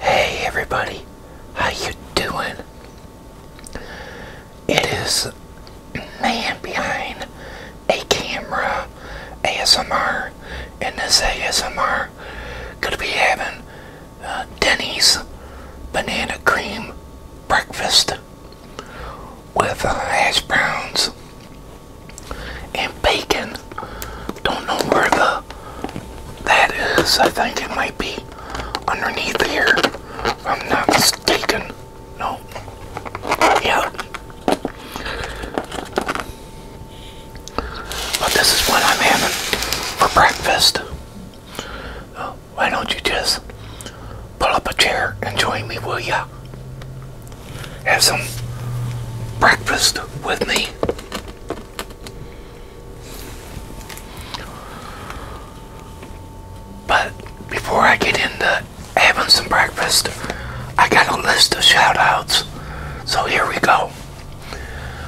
Hey everybody, how you doing? It is man behind a camera ASMR, and this ASMR gonna be having uh, Denny's banana cream breakfast with uh, hash browns and bacon. Don't know where the that is. I think it might be underneath here. I'm not mistaken. No. Yeah. But this is what I'm having for breakfast. why don't you just pull up a chair and join me, will ya? have some breakfast with me. But before I get into having some breakfast, I got a list of shoutouts. So here we go.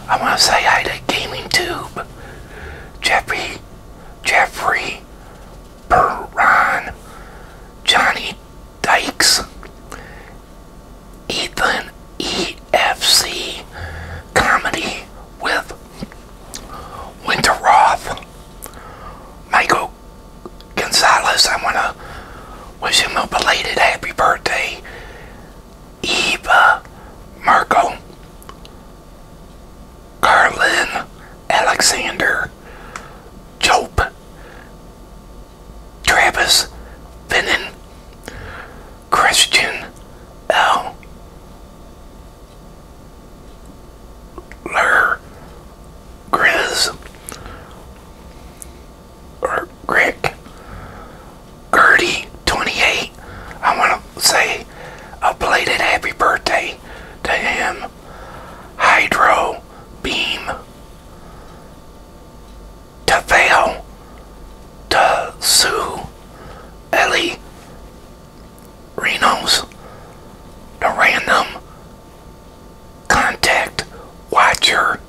I want to say hi to Gaming Tube, Jeffrey, Jeffrey, Perron, Johnny Dykes, Ethan EFC Comedy with Winter Roth, Michael Gonzalez. I want to wish him a belated happy birthday. Eva Marco, Carlin Alexander, Jope Travis Finnan, Christian L. Lur Grizz or Rick Gertie 28. I want to say a belated happy birthday to him. Hydro Beam Tafel to Sue Ellie Reno's the random contact watcher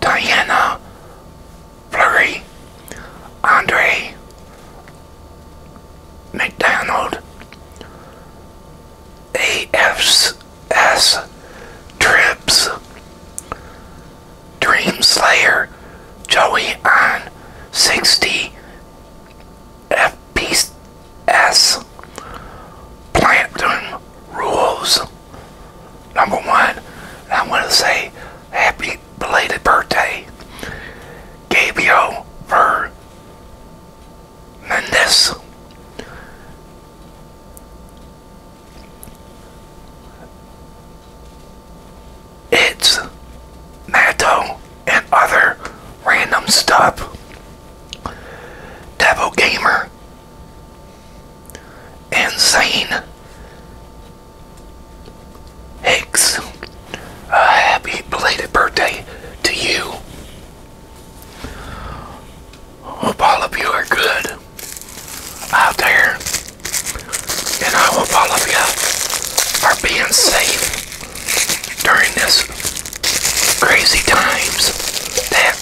Diana Flurry Andre McDonald AFS Trips Dream Slayer Joey on 60 FPS Plankton Rules Number one, I want to say happy belated birthday Gabriel Ver Mendes. It's Matto and other random stuff. Devil Gamer. Insane. Hicks, uh, happy belated birthday to you. Hope all of you are good out there, and I hope all of you are being safe during this crazy times that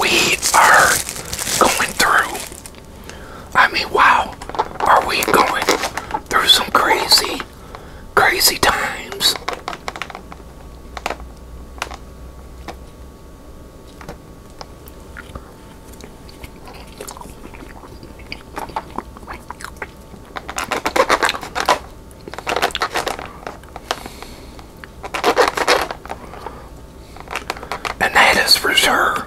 we are going through. I mean, wow, are we going through some crazy Crazy times. And that is for sure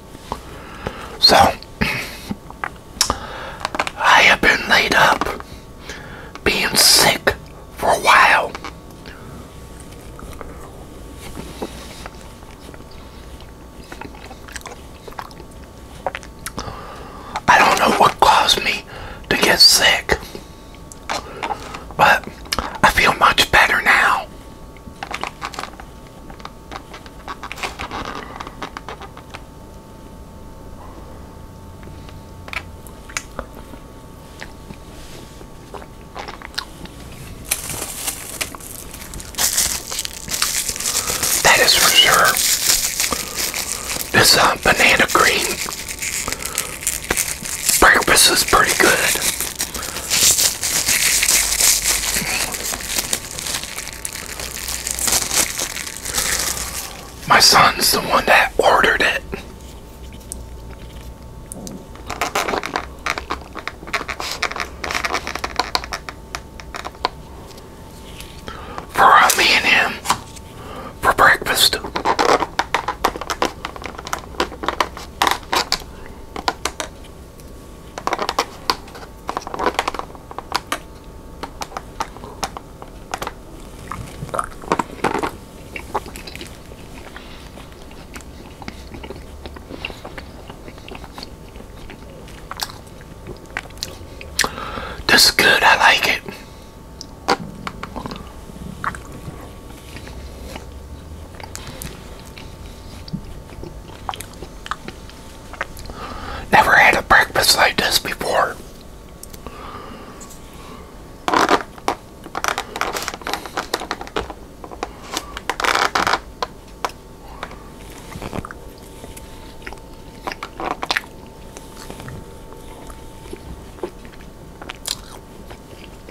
So, I have been laid up, being sick for a while. I don't know what caused me to get sick, but I feel much better now. That is for sure. This uh, banana green breakfast is pretty good. My son's the one that ordered it. For uh, me and him for breakfast. This is good, I like it. Never had a breakfast like this before.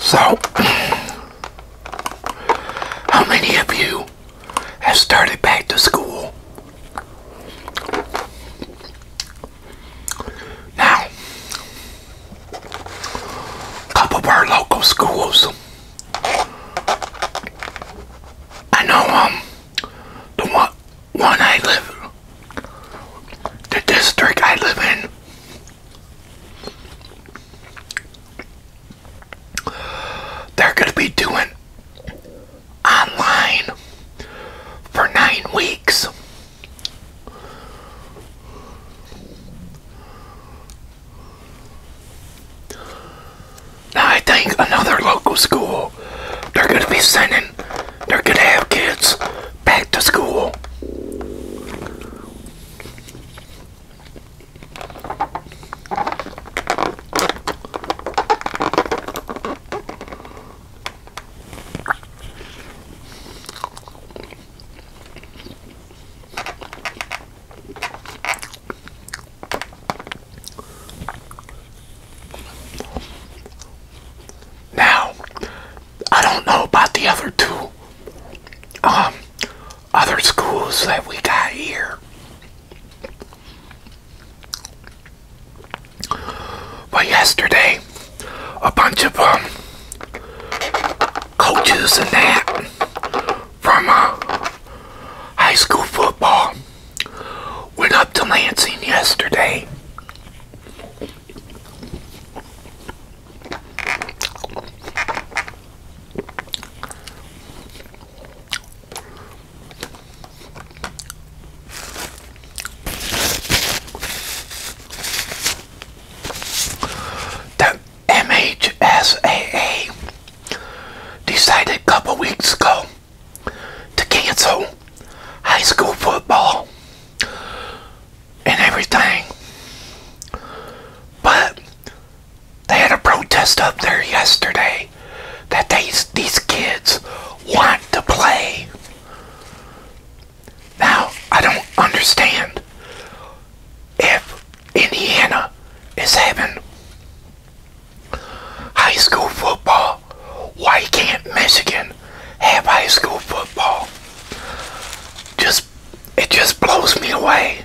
So, how many of you have started back to school. Now, couple of our local schools. I know um the one one I live the district I live in they're gonna be doing online for nine weeks. Now I think another local school, they're going to be sending, they're going to have kids back to school. Now, I don't know about the other two um, other schools that we got here. But yesterday, a bunch of um, coaches and that from uh, high school football went up to Lansing yesterday. The MHSAA decided a couple weeks ago to cancel high school football and everything. But they had a protest up there yesterday that these these kids want to play. Now I don't understand if Indiana is having high school football, why can't Michigan have high school football? Just it just blows me away.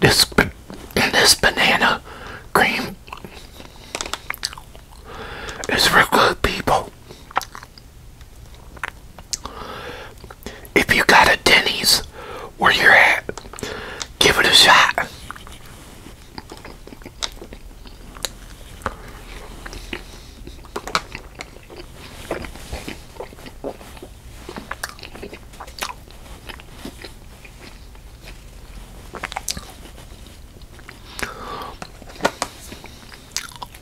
This this banana cream is real good, people. If you got a Denny's where you're at, give it a shot.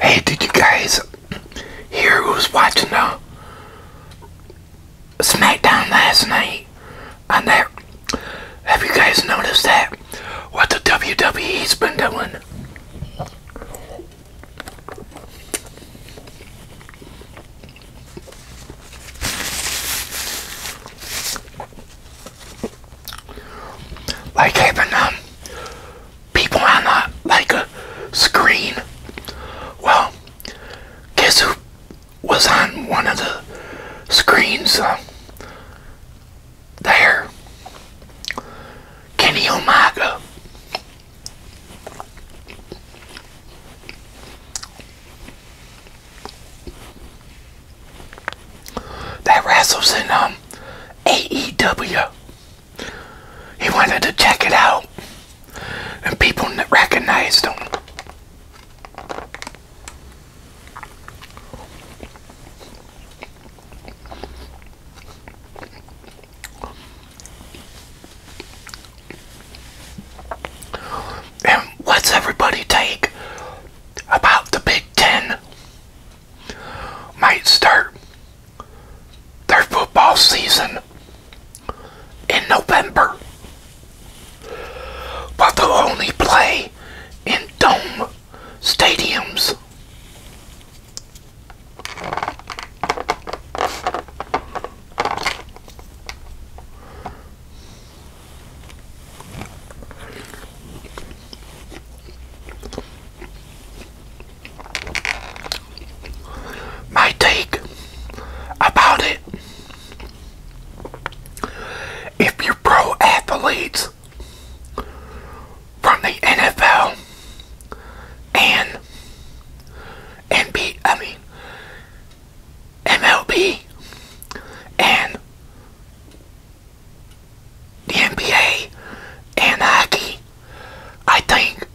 Hey, did you guys hear who was watching the SmackDown last night? On that, have you guys noticed that? What the WWE's been doing? Like having um, people on a, like a screen. Well, guess who was on one of the screens uh, there? Kenny Omega that wrestles in um, AEW. He wanted to check it out, and people recognized him. And what's everybody take about the Big Ten? Might start their football season in November, but they'll only play in dome stadiums. My take about it if you're pro athletes from the NFL and NBA, I mean MLB and the NBA and hockey. I think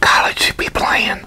college should be playing.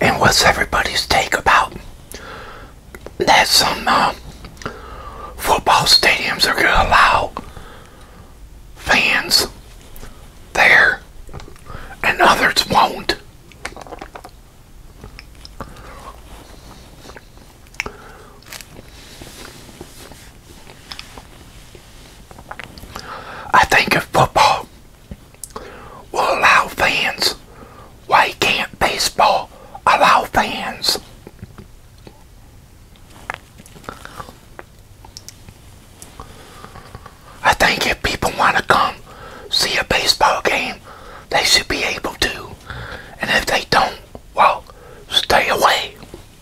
And what's everybody's take about that some uh, football stadiums are going to allow fans there and others won't? I think if football will allow fans, why can't baseball allow fans? I think if people want to come see a baseball game, they should be able to. And if they don't, well, stay away.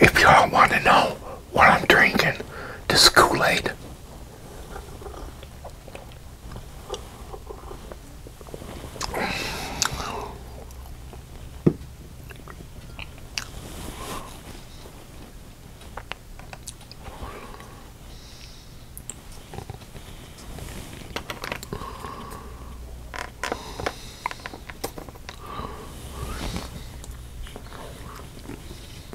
If y'all want to know what I'm drinking, this Kool-Aid.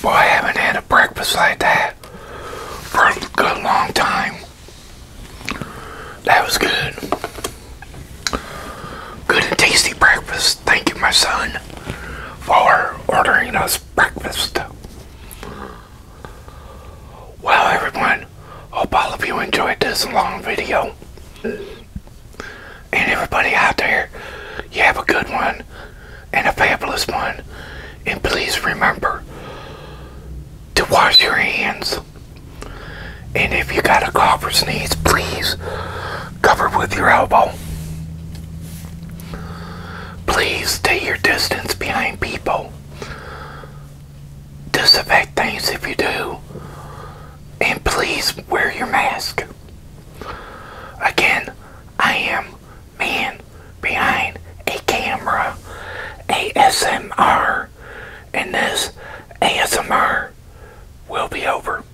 Boy, I haven't had a breakfast like that for a good long time. That was good. Good and tasty breakfast. Thank you, my son, for ordering us breakfast. Well, everyone, hope all of you enjoyed this long video. And everybody out there, you have a good one and a fabulous one. And please remember to wash your hands. And if you got a cough or sneeze, please cover with your elbow. Please stay your distance behind people. Disinfect things if you do. And please wear your mask. Again, I am man behind a camera ASMR and this ASMR will be over.